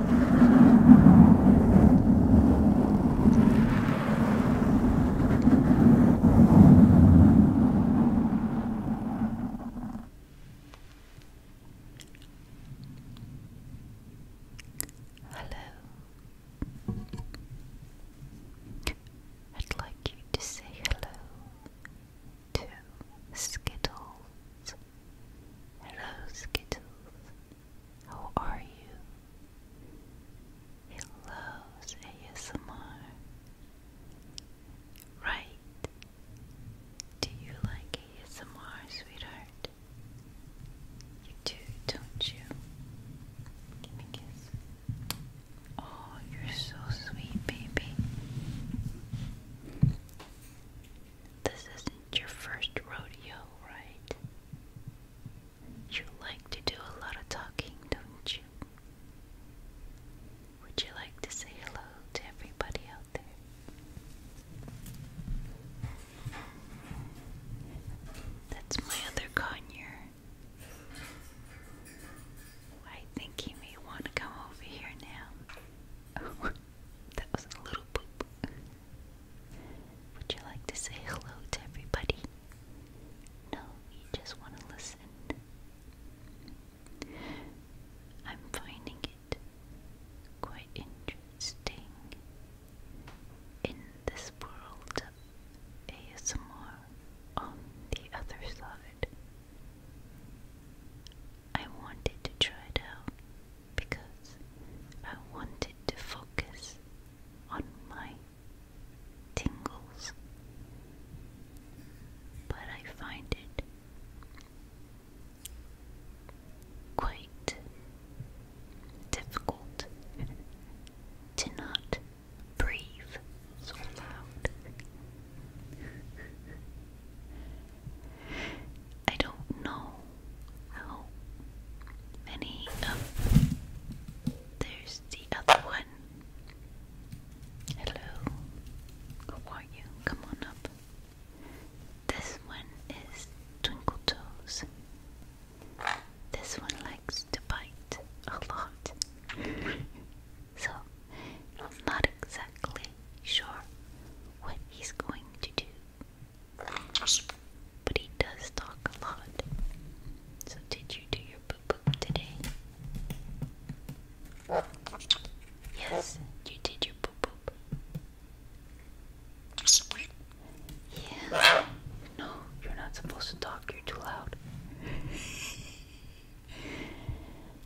Hello. I'd like you to say hello Two Skittles. Hello, Skittles. How are you? Hello, ASMR. Right. Do you like ASMR, sweetheart? You do, don't you? Give me a kiss. Oh, you're so sweet, baby. This isn't your first rodeo, right? You like to do a lot of talking, don't you? Would you like to say hello to everybody out there? That's my other conure. I think he may want to come over here now. that was a little poop. Would you like to say hello to everybody? No, you just want to listen. I'm finding it quite interesting in this world of ASMR on the other side. I wanted to try it out because I wanted to focus on my tingles, but I find it quite difficult to not breathe so loud. I don't know how many of. There's the other one. Hello. How are you? Come on up. This one is Twinkle Toes. This one likes to bite a lot. So, I'm not exactly sure what he's going to do. But he does talk a lot. So, did you do your poo poo today? Yes, you did your poo poo. Yeah. No, you're not supposed to talk, you're too loud.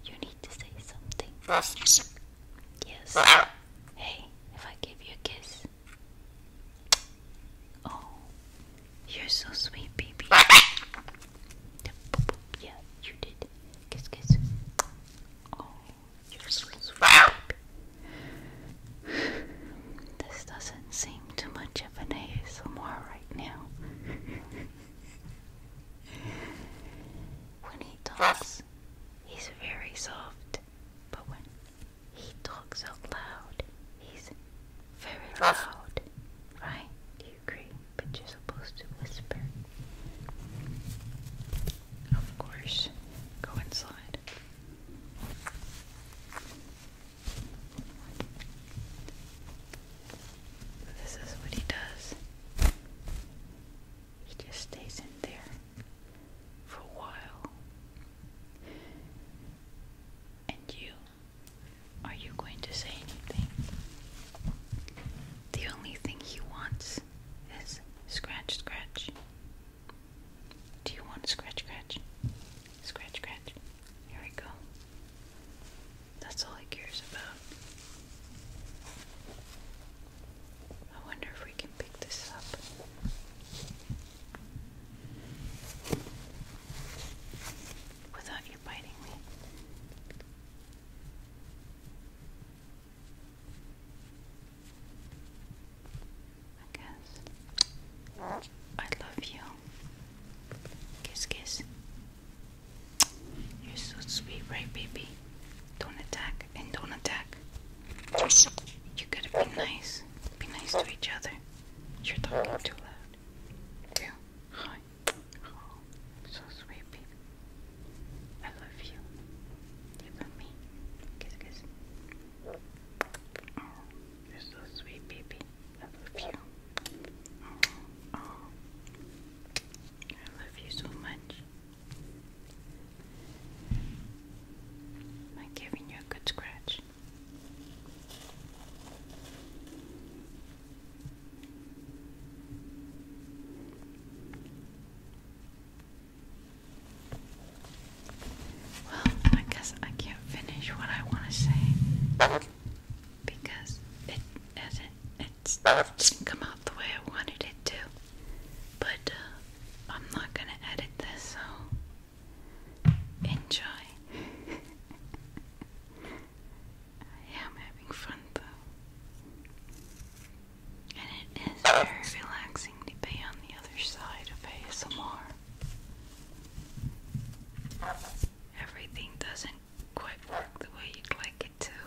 you need to say something. Yes. Hey, if I give you a kiss. Oh, you're so sweet, baby. Yeah, you did. Kiss, kiss. Oh, you're so sweet. Baby. This doesn't seem too much much right now. when he talks, he's very soft, but when he talks out loud, he's very loud. Right? Do you agree? But you're supposed to whisper. Of course, go inside. This is what he does. He just stays in there for a while. And you, are you going to say anything? The only thing he wants is scratch, scratch, do you want scratch, scratch? Scratch, scratch. Here we go. That's all it cares about. I wonder if we can pick this up. Without you biting me. I guess. I love you. Kiss, kiss. You're so sweet, right, baby? Don't attack and don't attack. You gotta be nice. Be nice to each other. You're talking too loud. Yeah. Hi. so sweet, baby. I love you. You love me. Kiss, kiss. Oh, you're so sweet, baby. I love you. Oh, I love you so much. i giving you a good scratch. Well, I guess I can't finish what I want to say because it hasn't it didn't come out the way I wanted it to. But uh, I'm not gonna edit this, so enjoy. I am having fun though. And it is very relaxing to be on the other side of ASMR. Everything doesn't quite work the way you'd like it to.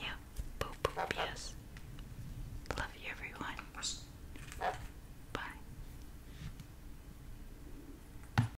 yeah, boop boop, yes. Love you, everyone. Bye.